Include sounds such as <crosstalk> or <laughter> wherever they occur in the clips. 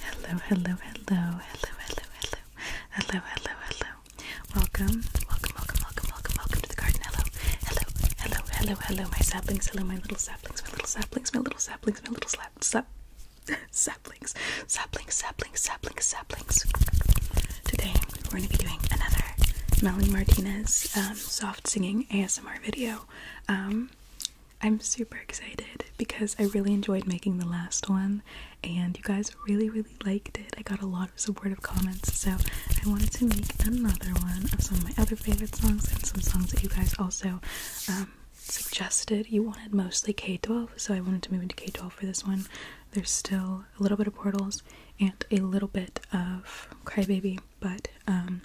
Hello, hello, hello, hello, hello, hello, hello, hello, hello. Welcome, welcome, welcome, welcome, welcome, welcome to the garden. Hello, hello, hello, hello, hello, my saplings. Hello, my little saplings, my little saplings, my little saplings, my little slap, slap, <laughs> saplings, saplings, saplings, saplings, saplings. Today we're going to be doing another Melanie Martinez um, soft singing ASMR video. Um, I'm super excited because I really enjoyed making the last one and you guys really, really liked it. I got a lot of supportive comments, so I wanted to make another one of some of my other favorite songs and some songs that you guys also um, suggested. You wanted mostly K 12, so I wanted to move into K 12 for this one. There's still a little bit of Portals and a little bit of Crybaby, but um,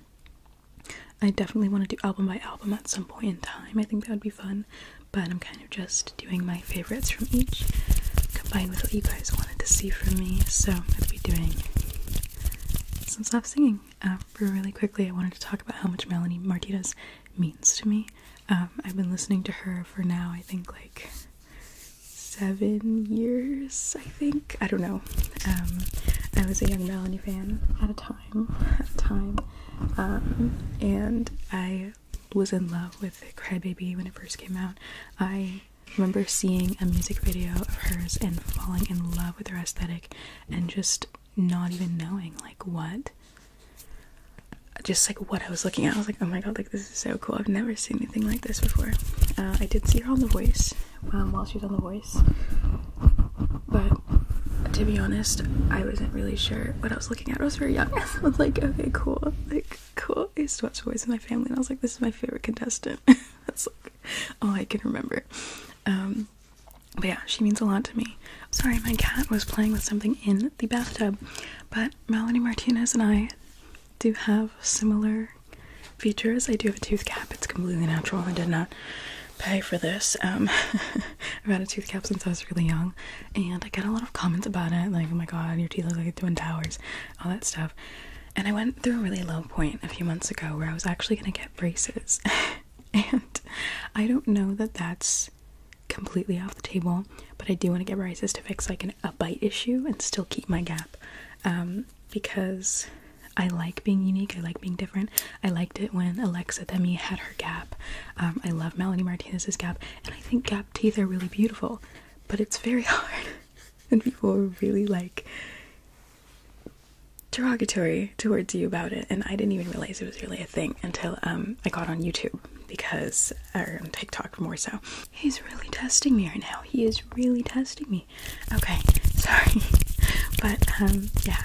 I definitely want to do album by album at some point in time. I think that would be fun, but I'm kind of just doing my favorites from each combined with what you guys wanted to see from me. So I'm going to be doing some soft singing. Uh, really quickly, I wanted to talk about how much Melanie Martinez means to me. Um, I've been listening to her for now, I think, like seven years, I think. I don't know. Um, I was a Young Melanie fan at a time, time, um, and I was in love with Crybaby when it first came out. I remember seeing a music video of hers and falling in love with her aesthetic, and just not even knowing like what just like what I was looking at. I was like, oh my god, like this is so cool. I've never seen anything like this before. Uh, I did see her on The Voice um, while she was on The Voice. But to be honest, I wasn't really sure what I was looking at. I was very young. <laughs> I was like, okay, cool. Like, cool. I used to watch The Voice with my family, and I was like, this is my favorite contestant. <laughs> That's all I can remember. Um, but yeah, she means a lot to me. Sorry, my cat was playing with something in the bathtub. But Melanie Martinez and I do have similar features. I do have a tooth cap. It's completely natural. I did not pay for this. Um, <laughs> I've had a tooth cap since I was really young, and I get a lot of comments about it, like, "Oh my god, your teeth look like twin towers," all that stuff. And I went through a really low point a few months ago where I was actually gonna get braces, <laughs> and I don't know that that's completely off the table, but I do want to get braces to fix like an, a bite issue and still keep my gap. Um, because I like being unique. I like being different. I liked it when Alexa Demi had her gap. Um, I love Melanie Martinez's gap, and I think gap teeth are really beautiful. But it's very <laughs> hard, and people are really like derogatory towards you about it. And I didn't even realize it was really a thing until um, I got on YouTube because, or on TikTok more so. He's really testing me right now. He is really testing me. Okay, <laughs> sorry. but um yeah.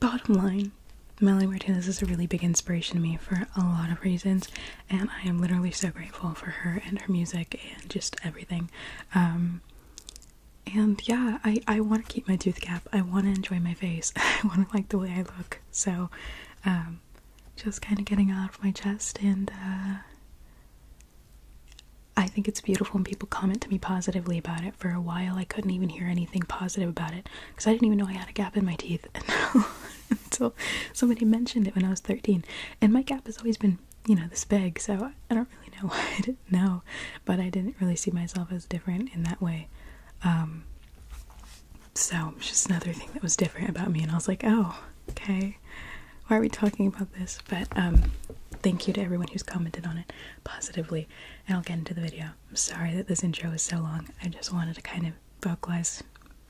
Bottom line, Melly Martinez is a really big inspiration to me for a lot of reasons, and I am literally so grateful for her and her music and just everything. Um, and yeah, I, I want to keep my tooth gap. I want to enjoy my face. <laughs> I want to like the way I look. So, um, just kind of getting out of my chest and uh, I think it's beautiful when people comment to me positively about it. For a while, I couldn't even hear anything positive about it because I didn't even know I had a gap in my teeth until, <laughs> somebody mentioned it when I was 13. And my gap has always been, you know, this big, so I don't really know <laughs> why I didn't know, but I didn't really see myself as different in that way. Um, so, it's just another thing that was different about me, and I was like, oh, okay. Why are we talking about this? But um, thank you to everyone who's commented on it positively. And I'll get into the video. I'm sorry that this intro is so long. I just wanted to kind of vocalize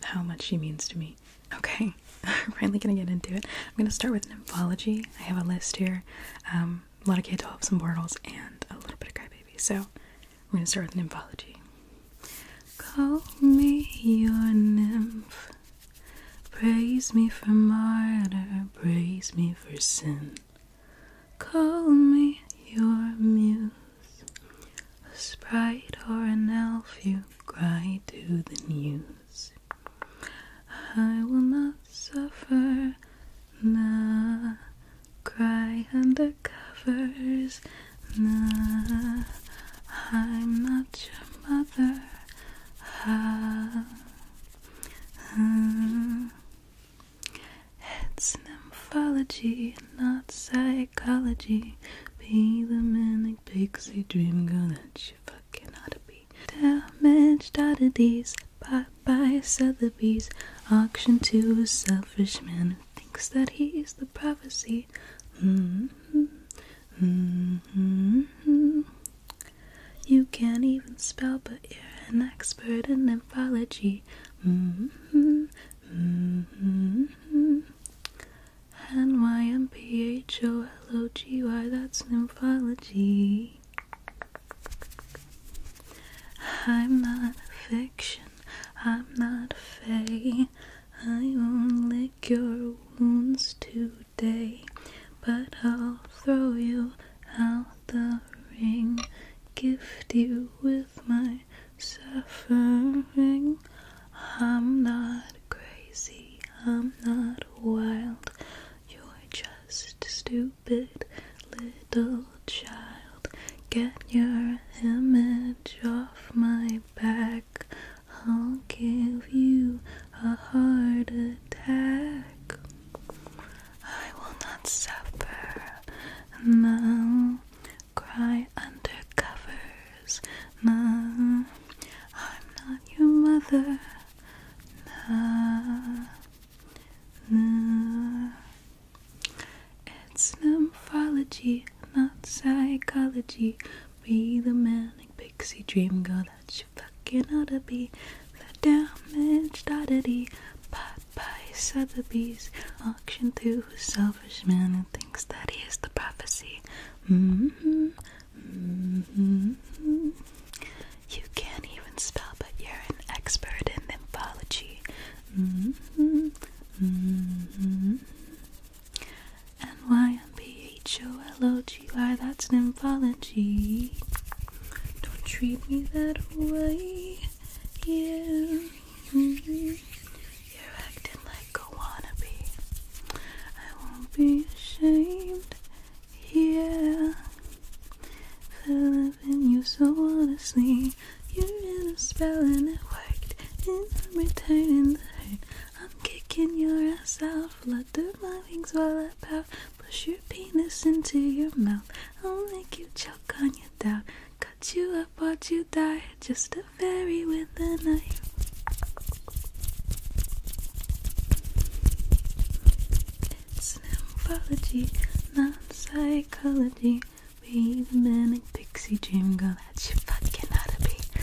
how much she means to me. Okay, I'm <laughs> finally gonna get into it. I'm gonna start with nymphology. I have a list here. Um, a lot of K-12, and portals, and a little bit of Crybaby. So we're gonna start with nymphology. Call me your nymph. Praise me for murder, praise me for sin. Call me your muse, a sprite or an elf, you cry to the muse. I will not suffer, nah. Cry under covers, nah. I'm not your mother. It's nymphology, not psychology. Be the manic pixie dream girl that you fucking ought to be. Damaged oddities, bought by Sotheby's, auctioned to a selfish man who thinks that he's the prophecy. Mm-hmm. Mm-hmm. You can't even spell, but you're an expert in nephrology. Mm -hmm, mm -hmm. N-Y-M-P-H-O-L-O-G-Y, that's nephrology. I'm not fiction, I'm not fake. I won't lick your wounds today but I'll throw you out the ring, gift you with my suffering. I'm not crazy, I'm not wild, you're just stupid little child. Get your image off my back. I'll give you a heart attack. I will not suffer. No, cry under covers. No, I'm not your mother. No, no. It's nymphology, not psychology. Be the manic pixie dream girl that you fucking ought to be. The damage oddity. by Sotheby's. auctioned to a selfish man who thinks that he is the prophecy. Mm-hmm. Mm-hmm. You can't even spell, but you're an expert in nymphology. Mm-hmm. N Y M P H O L O G Y, that's an nymphology. Don't treat me that way. Yeah. You're acting like a wannabe. I won't be ashamed. Yeah. Fell in you so honestly. You're a spell and it worked. And I'm returning the hurt. I'm kicking your ass out out my wings while I pout. Push your penis into your mouth. I'll make you choke on your doubt. Cut you up, while you die. Just a fairy with a knife. It's not psychology. Be the manic pixie dream girl that you fucking oughta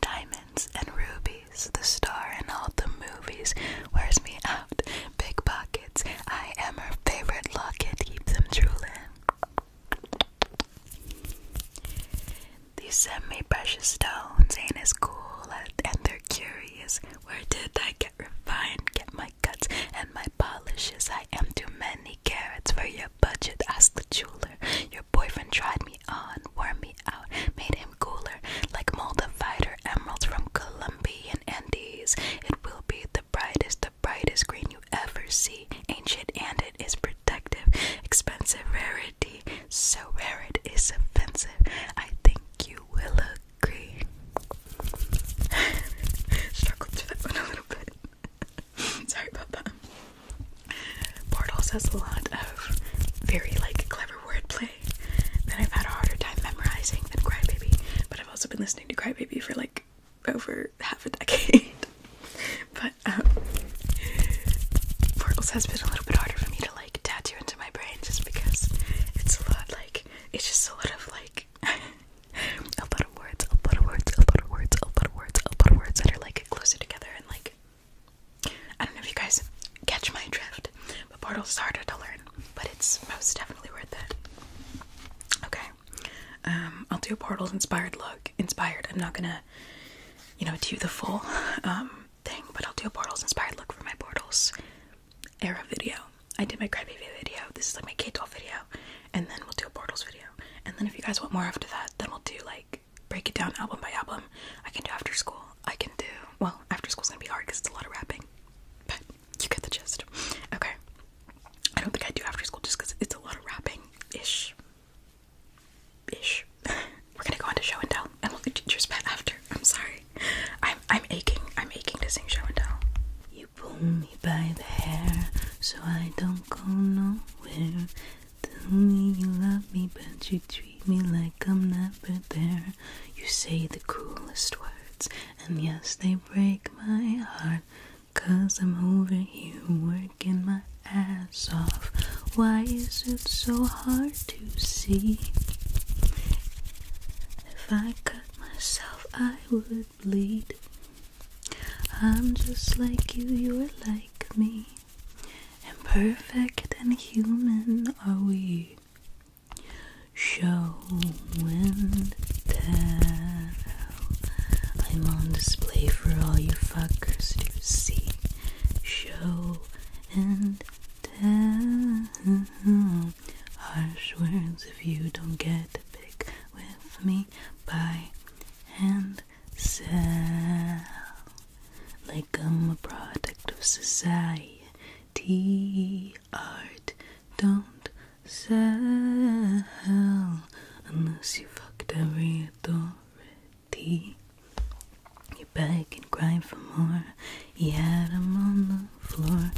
Diamonds and rubies, the star in all the movies wears me out. Big pockets, I am her favorite locket, keep them drooling. These semi precious stones, ain't as cool, and they're curious. Where did I get refined? Get my cuts and my polishes. I am too many carrots for you budget? asked the jeweler. Your boyfriend tried me on, wore me out, made him cooler, like moldified emeralds from Colombian Andes. It will be the brightest, the brightest green you ever see. Ancient and it is protective, expensive rarity. So rare it is offensive. I think you will agree. <laughs> Struggled to that one a little bit. <laughs> <laughs> Sorry about that. Portals has a lot of very like clever wordplay that I've had a harder time memorizing than Crybaby, but I've also been listening to Crybaby for like over half a decade. <laughs> but um, Portals has been a little bit harder for me to like tattoo into my brain just because it's a lot like it's just a lot of like <laughs> a lot of words, a lot of words, a lot of words, a lot of words, a lot of words that are like like closer together and like I don't know if you guys catch my drift, but Portal's harder to learn, but it's most definitely worth it. Okay, um, I'll do a Portal's inspired look. Inspired. I'm not gonna, you know, do the full um, thing, but I'll do a Portal's inspired look for my Portal's era video. I did my Crybaby video. This is like my K12 video, and then we'll do a Portal's video. And then if you guys want more after that, then we'll do like break it down album by album. I can do after school. I can do well. After school's gonna be hard because it's a lot of rapping, but you get the gist. Okay. I don't think I do after school just because it's a lot of rapping ish. Ish. <laughs> We're gonna go on to show and tell, and we'll do teacher's pet after. I'm sorry. I'm I'm aching. I'm aching to sing show and tell. You pull me by the hair so I don't go nowhere. Tell me you love me, but you treat me like I'm never there. You say the coolest words, and yes, they break my heart. Cause I'm over here working my ass off. Why is it so hard to see? If I cut myself, I would bleed. I'm just like you, you're like like me. Imperfect and human are we. Show and tell. I'm on display for all you fuckers to see. Show and tell. Harsh words if you don't get to pick with me by hand sell like I'm a product of society. Art don't sell unless you fucked every authority. You beg and grind for more. You had him on the floor.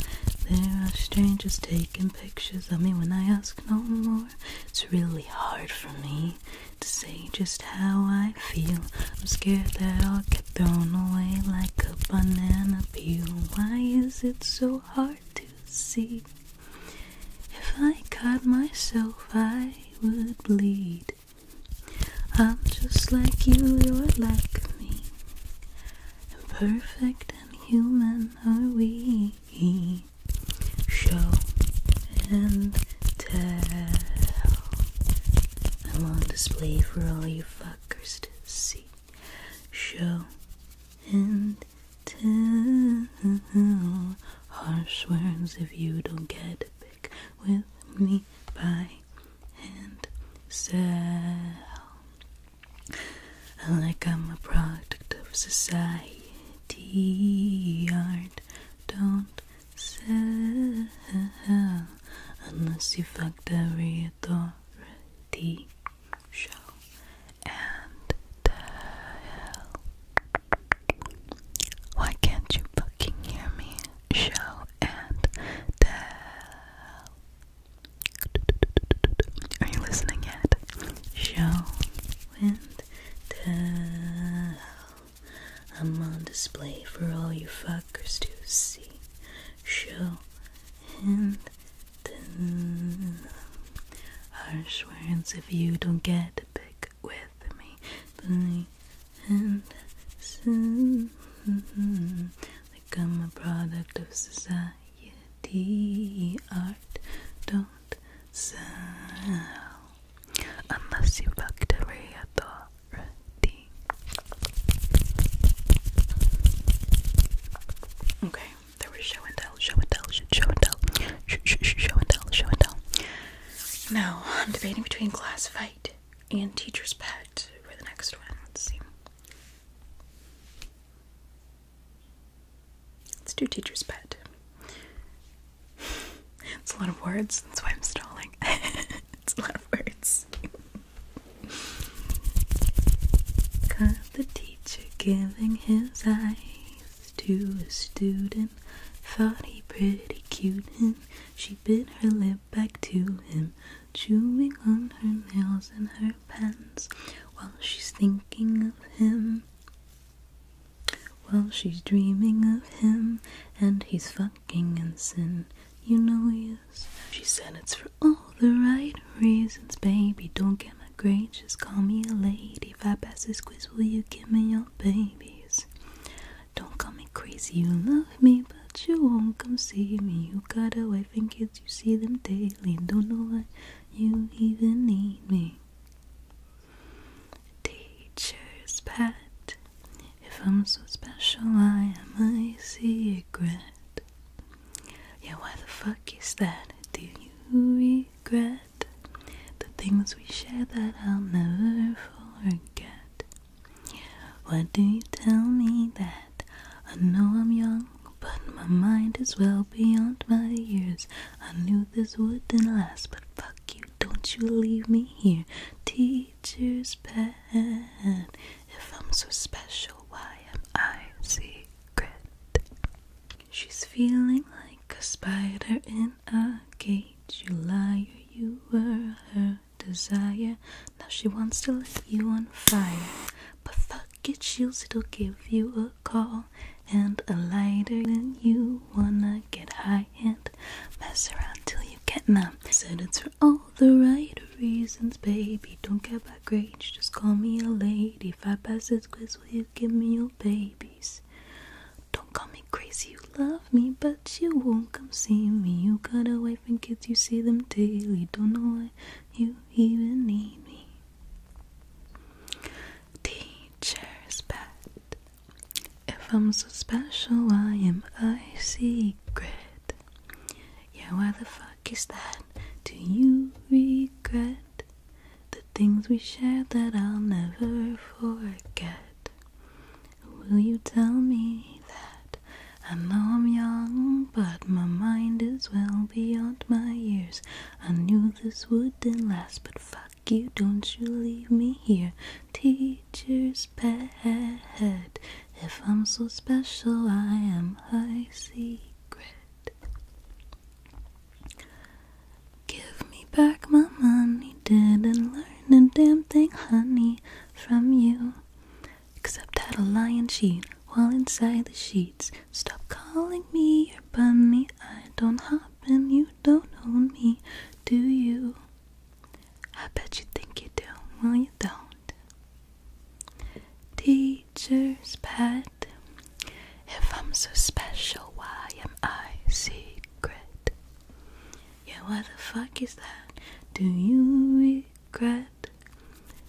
There are strangers taking pictures of me when I ask no more it's really hard for me to say just how I feel. I'm scared that I'll get thrown away like a banana peel. Why is it so hard to see? If I cut myself, I would bleed. I'm just like you, you're like me. Imperfect and human are we show and tell. I'm on display for all you fuckers to see. Show and tell. Harsh words if you don't get a pick with me by and sell. Like I'm a product of society D art don't sell unless you fucked every authority show and tell. Why can't you fucking hear me? Show and tell. Are you listening yet? Show went down. I'm on display for all you fuckers to see. Show and tell. Harsh words if you don't get a pick with me. Believe and sin. Like I'm a product of society. Art don't so, unless you fucked away authority. Okay, there was show and tell, show and tell, show and tell, sh sh sh show and tell, show and tell. Now, I'm debating between class fight and teacher's pet for the next one. Let's see. Let's do teacher's pet. It's a lot of words, that's why I'm stalling. <laughs> it's a lot of words. Cause the teacher giving his eyes to a student thought he pretty cute and she bit her lip back to him, chewing on her nails and her pants while she's thinking of him. Well, she's dreaming of him, and he's fucking in sin. You know he is. She said it's for all the right reasons, baby. Don't get my grades, just call me a lady. If I pass this quiz, will you give me your babies? Don't call me crazy, you love me, but you won't come see me. You got a wife and kids, you see them daily. Don't know why you even need me. Teacher's pet. If I'm so special, I am a secret. Yeah, why the fuck is that? Do you regret the things we shared that I'll never forget? Why do you tell me that? I know I'm young, but my mind is well beyond my years. I knew this wouldn't last, but fuck you, don't you leave me here. Teacher's pet. If I'm so special, why am I secret? She's feeling like a spider in a cage. You liar, you were her desire. Now she wants to light you on fire. But fuck get you, it'll give you a call. And a lighter than you wanna get high and mess around till you get numb. Said it's for all the right reasons, baby. Don't care about grades, just call me a lady. Five I pass this quiz, will you give me your babies? Don't call me crazy, you love me, but you won't come see me. You got a wife and kids, you see them daily. Don't know why you even need me. Teacher's pet. If I'm so special, I am a secret. Yeah, why the fuck is that? Do you regret the things we shared that I'll never forget? Will you tell me that? I know I'm young, but my mind is well beyond my years. I knew this would did not last, but fuck you, don't you leave me here. Teacher's pet, if I'm so special, I am high secret. Give me back my money, didn't learn a damn thing, honey, from you. Except that a lion cheat while inside the sheets. Stop calling me your bunny, I I don't hop and you don't own me, do you? I bet you think you do, well you don't. Teacher's pet, if I'm so special, why am I secret? Yeah, what the fuck is that? Do you regret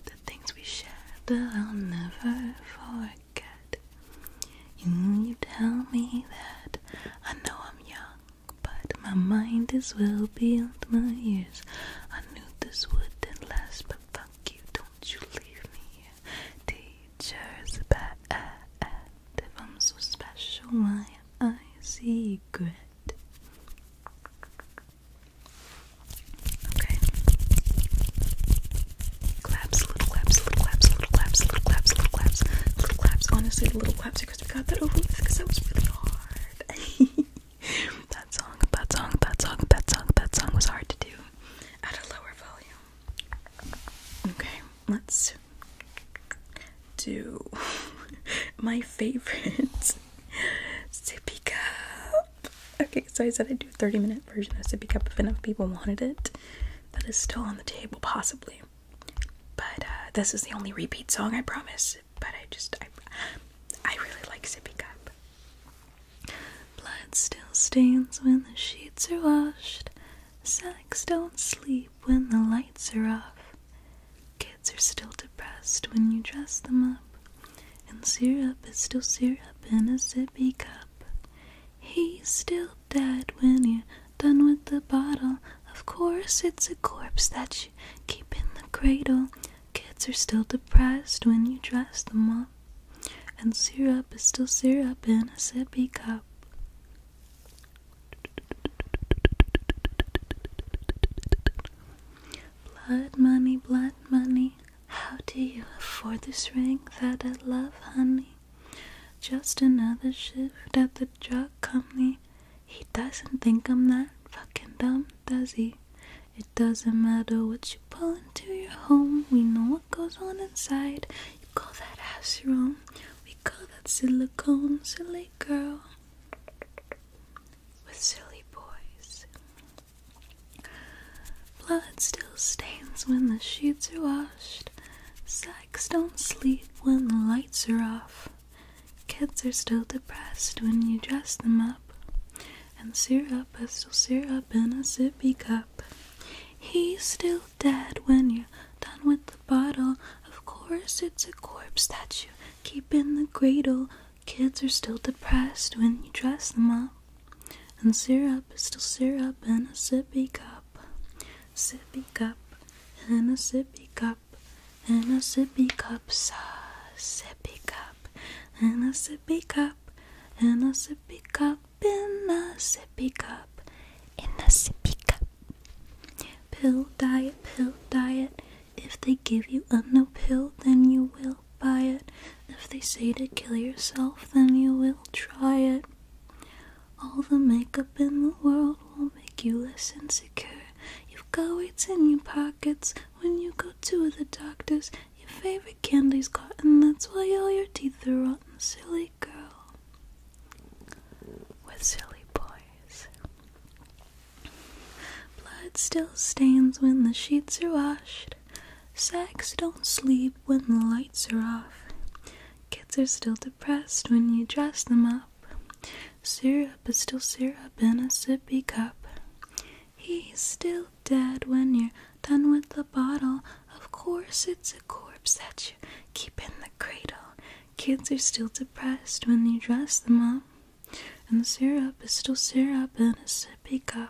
the things we shared that I'll never forget? You tell me that I know I'm young, but my mind is well beyond my years. I knew this wouldn't last, but fuck you, don't you leave me here. Teacher's bad if I'm so special, why I secret? Okay. Claps, little claps, little claps, little claps, little claps, little claps, little claps. Honestly, the little claps because we got that over with because that was really hard. <laughs> that song, that song, that song, that song, that song was hard to do at a lower volume. Okay, let's do <laughs> my favorite. Sippy cup okay, so I said I'd do a 30 minute version of Sippy Cup if enough people wanted it. That is still on the table, possibly. But uh, this is the only repeat song, I promise. But I just, I, I really like Sippy Cup. Blood still stains when the sheets are washed. Sex don't sleep when the lights are off. Kids are still depressed when you dress them up. And syrup is still syrup in a sippy cup. He's still dead when you're done with the bottle. Of course, it's a corpse that you keep in the cradle. Kids are still depressed when you dress them up. And syrup is still syrup in a sippy cup. Blood money, blood money, how do you afford this ring that I love, honey? Just another shift at the drug company. He doesn't think I'm that fucking dumb, does he? It doesn't matter what you pull into your home, we know what goes on inside. You call that ass your we call that silicone, silly girl. With silly boys. Blood still stains when the sheets are washed. Sacks don't sleep when the lights are off. Kids are still depressed when you dress them up. And syrup is still syrup in a sippy cup. He's still dead when you're done with the bottle. Of course, it's a corpse that you keep in the cradle. Kids are still depressed when you dress them up. And syrup is still syrup in a sippy cup. Sippy cup, in a sippy cup, in a sippy cup, sa sippy cup, in a sippy cup, in a sippy cup, in a sippy cup, in a sippy cup. Pill diet, pill diet. If they give you a no pill, then you will Buy it. If they say to kill yourself, then you will try it. All the makeup in the world will not make you less insecure. You've got weights in your pockets when you go to the doctors. Your favorite candy's candy's and that's why all your teeth are rotten, silly girl. With silly boys. Blood still stains when the sheets are washed bed. Sex don't sleep when the lights are off. Kids are still depressed when you dress them up. Syrup is still syrup in a sippy cup. He's still dead when you're done with the bottle. Of course, it's a corpse that you keep in the cradle. Kids are still depressed when you dress them up. And the syrup is still syrup in a sippy cup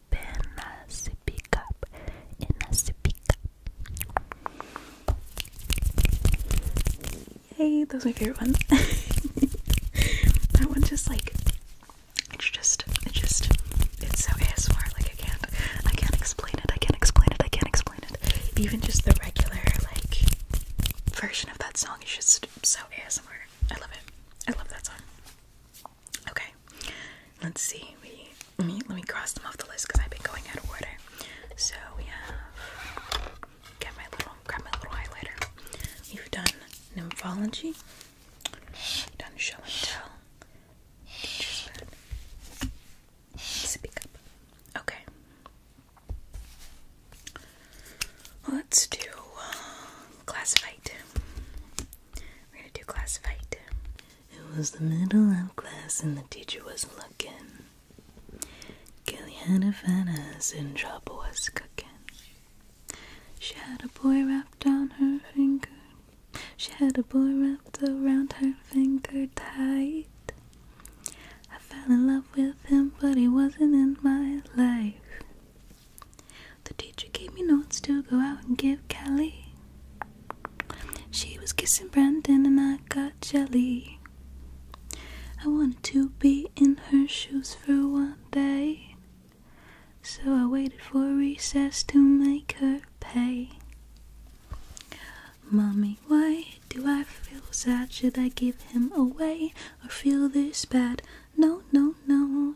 apenas se pick up, apenas se pick up. Yay, that was my favorite one. <laughs> that one just like, it's just, it's just, it's so ASMR, like I can't, I can't explain it, I can't explain it, I can't explain it. Even just the regular, like, version of that song is just so ASMR. I love it. I love that song. Okay, let's see. We let me, cross them off the list because I've been going out of order. So we have get my little grab my little highlighter. We've done nymphology, we've done show and tell, Okay, let's do uh, classified. We're gonna do class fight. It was the middle of class and the teacher was looking. Kelly had a fat ass and trouble was cooking. She had a boy wrapped around her finger. She had a boy wrapped around her finger tight. I fell in love with him, but he wasn't in my life. The teacher gave me notes to go out and give Kelly. She was kissing Brandon and I got jelly. I wanted to be in her shoes for one day. So I waited for recess to make her pay. Mommy, why do I feel sad? Should I give him away or feel this bad? No, no, no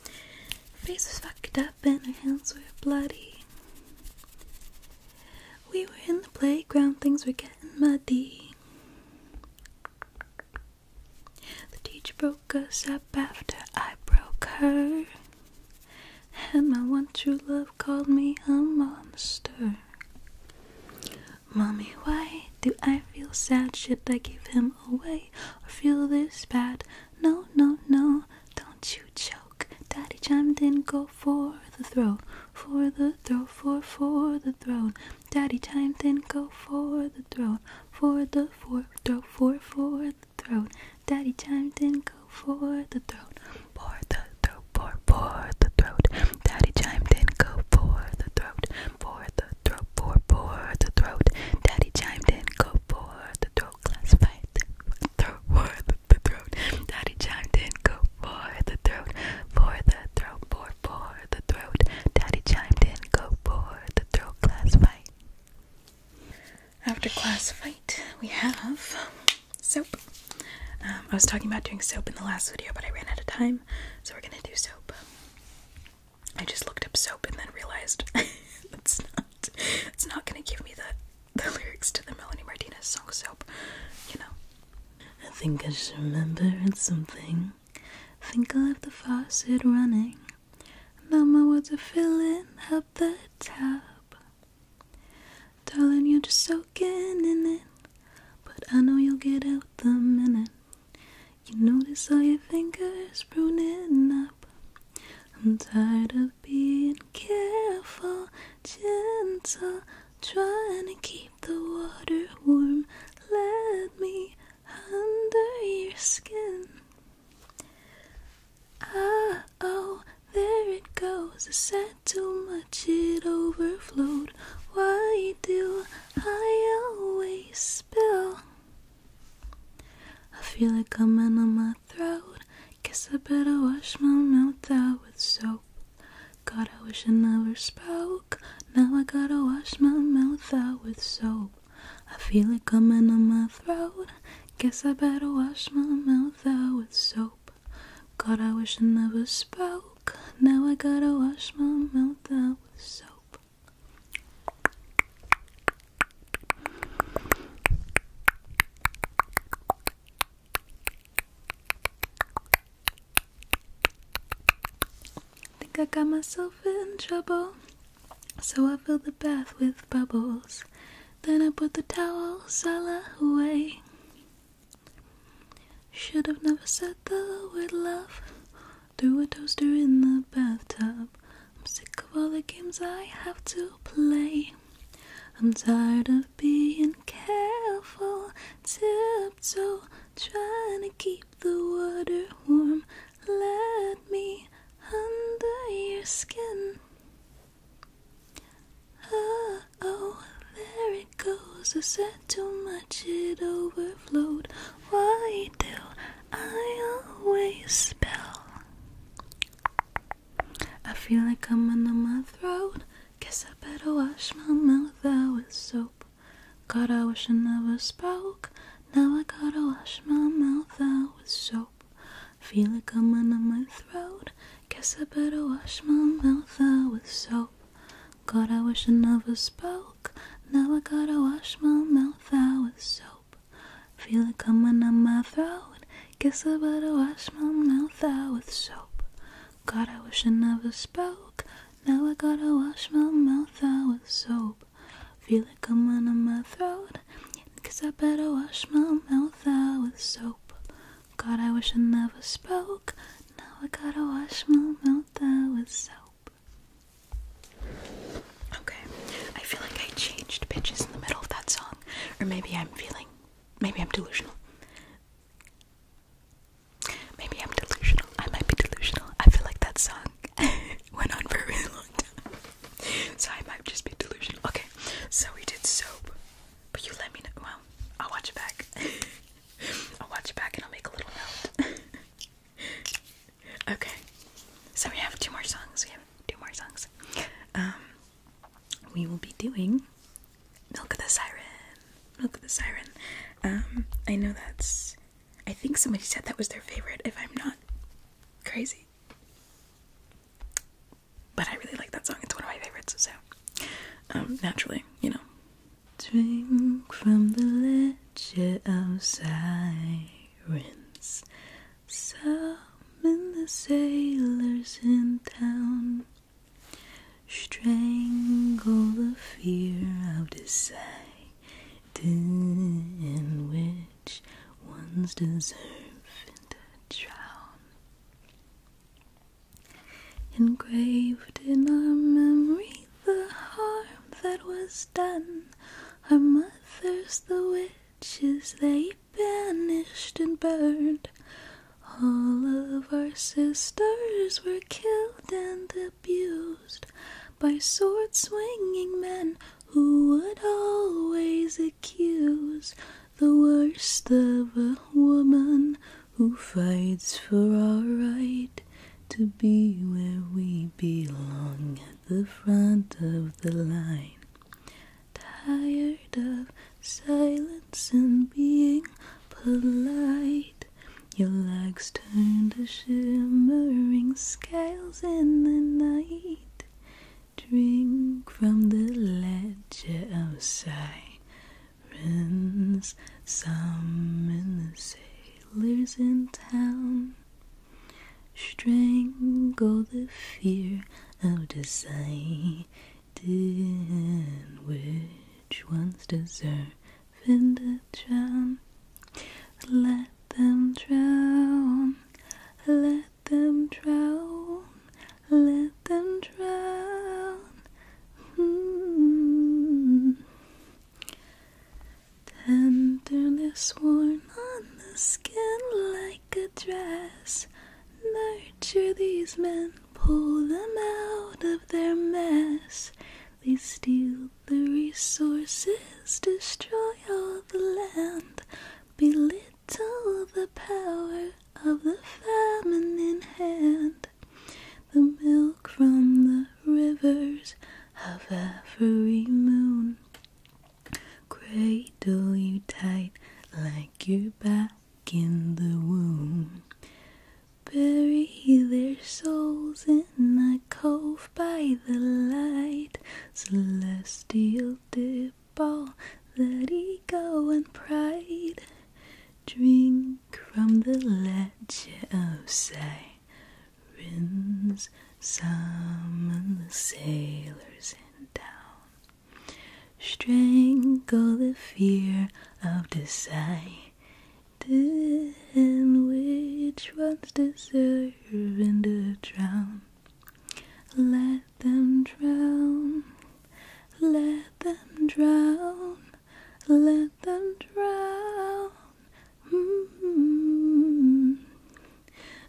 Her face was fucked up and our hands were bloody. We were in the playground, things were getting muddy. The teacher broke us up after I broke her. And my one true love called me a monster. Mommy, why do I feel sad? Shit, I gave him come away or feel this bad. No, no, no, don't you choke. Daddy chimed in, go for the throat, for the throat, for for the throat. Daddy chimed in, go for the throat, for the for throat, for for the throat. Daddy chimed in, go for the throat, for the throat, for for the throat. Daddy chimed in, go for the throat, for the throat. Go for the throat. Daddy chimed in. Go for the throat. Class fight. for the throat. Daddy chimed in. Go for the throat. For the throat. For for the throat. Daddy chimed in. Go for the throat. Class fight. After class fight, we have soap. Um, I was talking about doing soap in the last video, but I ran out of time, so we're gonna do soap. I just looked up soap and then realized that's <laughs> not it's not gonna give me the the lyrics to the Melanie Martinez song soap, you know. I think I should remember something. I think I left the faucet running. Now my water's filling up the tap. Darling, you're just soaking in it. But I know you'll get out the minute. You notice all your fingers pruning up. I'm tired of being careful, gentle, trying to keep the water warm. Let me under your skin. Ah, oh, there it goes. I said too much, it overflowed. Why do I always spill. I feel it coming on my throat. Guess I better wash my mouth out with soap. God, I wish I never spoke. Now I gotta wash my mouth out with soap. I feel it coming on my throat. Guess I better wash my mouth out with soap. God, I wish I never spoke. Now I gotta wash my mouth out with soap. I Think I got myself in trouble, so I filled the bath with bubbles. Then I put the towel all away. Should have never said the word love. Threw a toaster in the bathtub. I'm sick of all the games I have to play. I'm tired of being careful, tiptoe, trying to keep the water warm. Let me under your skin. Oh, there it goes. A too much, it overflowed. Why do I always spill? I feel it coming to my throat. Guess I better wash my mouth out with soap. God, I wish I never spoke. Now I gotta wash my mouth out with soap. Feel it coming to my throat. Guess I better wash my mouth out with soap. God, I wish I never spoke. Now I gotta wash my mouth out with soap. Feel it coming on my throat. Guess I better wash my mouth out with soap. God, I wish I never spoke. Now I gotta wash my mouth out with soap. Feel it coming on my throat. Guess I better wash my mouth out with soap. God, I wish I never spoke. Now I gotta wash my mouth out with soap. Okay, I feel like I changed pitches in the middle of that song, or maybe I'm feeling, maybe I'm delusional. Maybe I'm delusional. I might be delusional. I feel like that song <laughs> went on for a really long time, so I might just be delusional. Okay, so we did soap, but you let me know. Well, I'll watch it back. <laughs> I'll watch it back and I'll make a little note. <laughs> okay, so we have two more songs. We have two more songs. Um, we will be doing "Milk of the Siren." Milk of the Siren. Um, I know that's. I think somebody said that was their favorite. If I'm not crazy, but I really like that song. It's one of my favorites. So, um, naturally, you know, Drink from the ledger of sirens. Summon the sailors in town. Strangle the fear out of sight, in which ones deserve to drown. Engraved in our memory the harm that was done. Our mothers, the witches, they banished and burned. All of our sisters were killed and abused by sword swinging men who would always accuse the worst of a woman who fights for our right to be where we belong at the front of the line. Tired of silence and being polite, your legs turn to shimmering scales in the night. Drink from the ledger outside friends, some in the sailors in town. Strangle the fear of deciding which ones deserve in to drown. Let them drown, let them drown, let them drown. Hmm. Tenderness worn on the skin like a dress. Nurture these men, pull them out of their mess. They steal the resources, destroy all the land, belittle the power of the feminine hand the milk from the rivers of every moon. Cradle you tight like you're back in the womb. Bury their souls in the cove by the light, celestial dip all that ego and pride. Drink from the ledger of some summon the sailors in town, strangle the fear of deciding which ones deserve and to drown. Let them drown, let them drown let them drown. Mm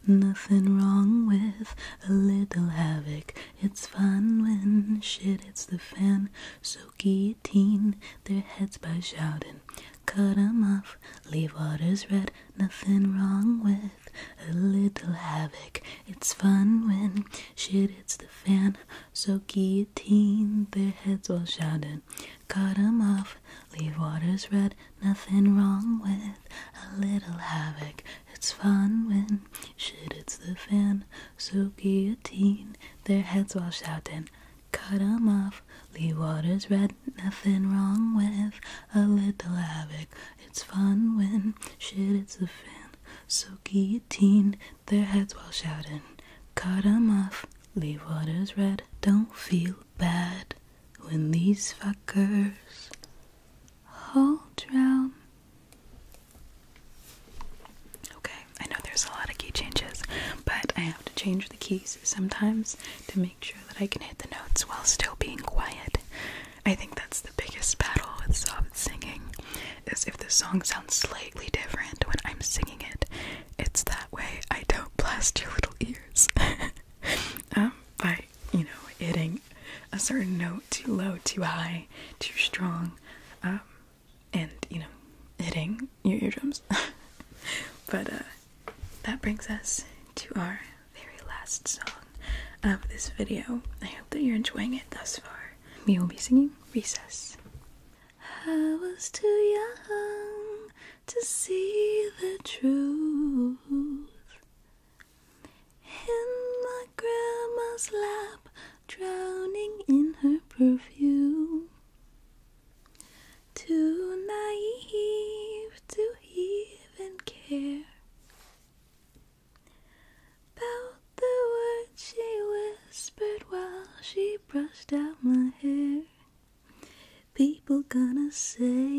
Nothing wrong with a little havoc. It's fun when shit hits the fan. So guillotine their heads by shouting. Cut 'em off, leave waters red. Nothing wrong with a little havoc. It's fun when shit hits the fan. So eighteen, their heads all shouting, Cut 'em off, leave waters red, nothing wrong with a little havoc. It's fun when shit hits the fan, so guillotine, their heads all shouting, Cut 'em off, leave waters red, nothing wrong with a little havoc. It's fun when shit hits the fan, so guillotine. 18, their heads while shouting, Cut 'em off, leave waters red, don't feel bad when these fuckers all drown. Okay, I know there's a lot of key changes, but I have to change the keys sometimes to make sure that I can hit the notes while still being quiet. I think that's the biggest battle with soft singing as if the song sounds slightly different when I'm singing it, it's that way I don't blast your little ears <laughs> um, by, you know, hitting a certain note too low, too high, too strong, um, and, you know, hitting your eardrums. <laughs> but uh, that brings us to our very last song of this video. I hope that you're enjoying it thus far. We will be singing Recess. I was too young to see the truth. In my grandma's lap, drowning in her perfume. Too naive to even care about the words she whispered while she brushed out my hair. People gonna say,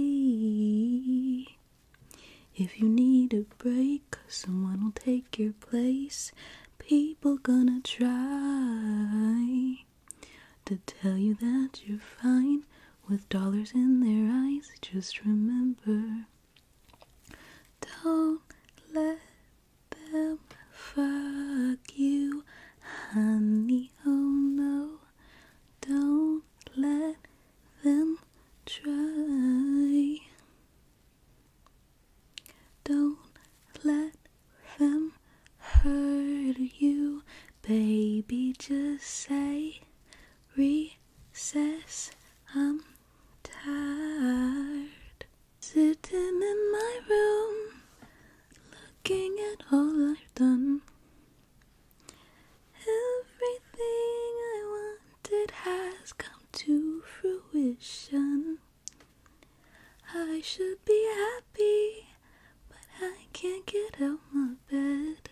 if you need a break, someone will take your place. People gonna try to tell you that you're fine with dollars in their eyes. Just remember, don't let them. Fuck you, honey. Oh no, don't let them try. Don't let them hurt you, baby. Just say recess. I'm tired. Sitting in my room, looking at all I've done. Everything I wanted has come to fruition. I should be happy, but I can't get out my bed.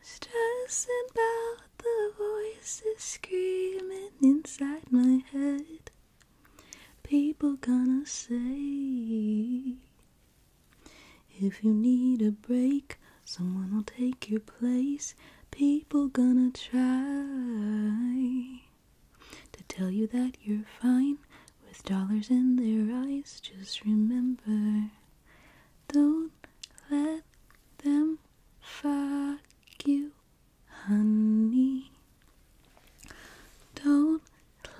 Stressing about the voices screaming inside my head. People gonna say if you need a break, someone will take your place. People gonna try to tell you that you're fine with dollars in their eyes. Just remember, don't let them fuck you honey. Don't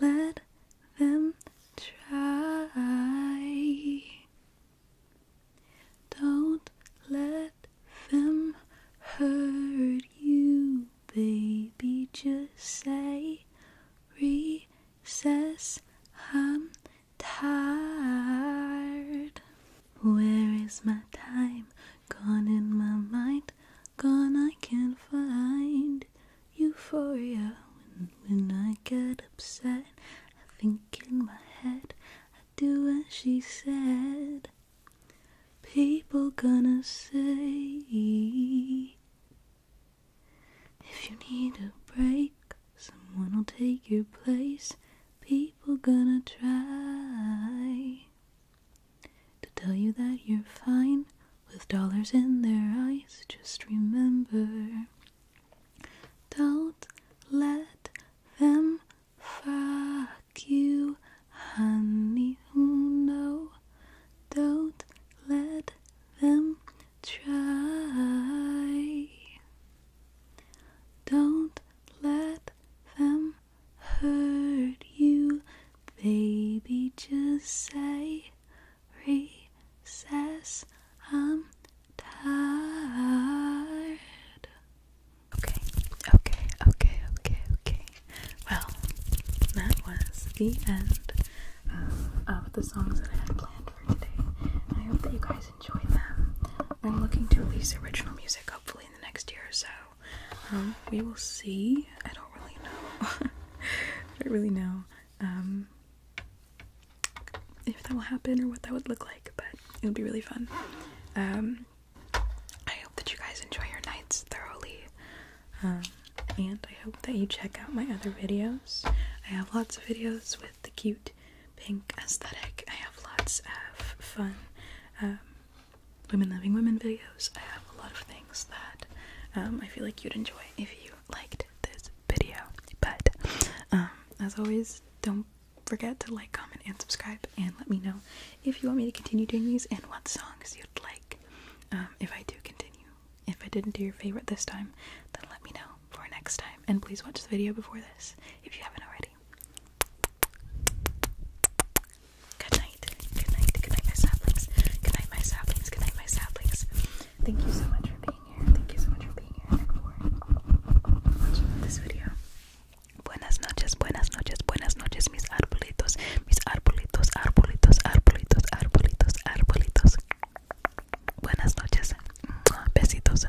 let them try. Don't let them hurt you, baby. Just say recess. I'm tired. Where is my time? Gone in my mind, gone I can't find euphoria. When, I get upset, I think in my head, I do as she said. People gonna say, if you need a break, someone will take your place. People gonna try to tell you that you're fine with dollars in their eyes. Just remember, don't let them fuck you, honey. Oh no, don't let them try. Don't let them hurt you, baby. Just say recess. I'm tired. Okay, okay, okay, okay, okay. Well, that was the end uh, of the songs that I had planned for today. I hope that you guys enjoyed them. I'm looking to release original music hopefully the next year or so. Um, we will see. I don't really know. <laughs> I don't really know um, if that will happen or what that would look like, but it would be really fun. Um, I hope that you guys enjoy your nights thoroughly. and I hope that you check out my other videos. I have lots of videos with the cute pink aesthetic. I have lots of fun women loving women videos. I have a lot of things that um, I feel like you'd enjoy if you liked this video. But um, as always, don't forget to like, comment, and subscribe, and let me know if you want me to continue doing these and what songs you'd like. Um, if I do continue, if I didn't do your favorite this time, then let me know for next time. And please watch the video before this if you haven't already. Good night. Good night. Good night, my saplings. Good night, my saplings. Good night, my saplings. Thank you so much for being here. Thank you so much for being here and for watching this video. Buenas noches, buenas noches, buenas noches, mis arbolitos, mis arbolitos, arbolitos, arbolitos, arbolitos, arbolitos. Buenas noches. Besitos.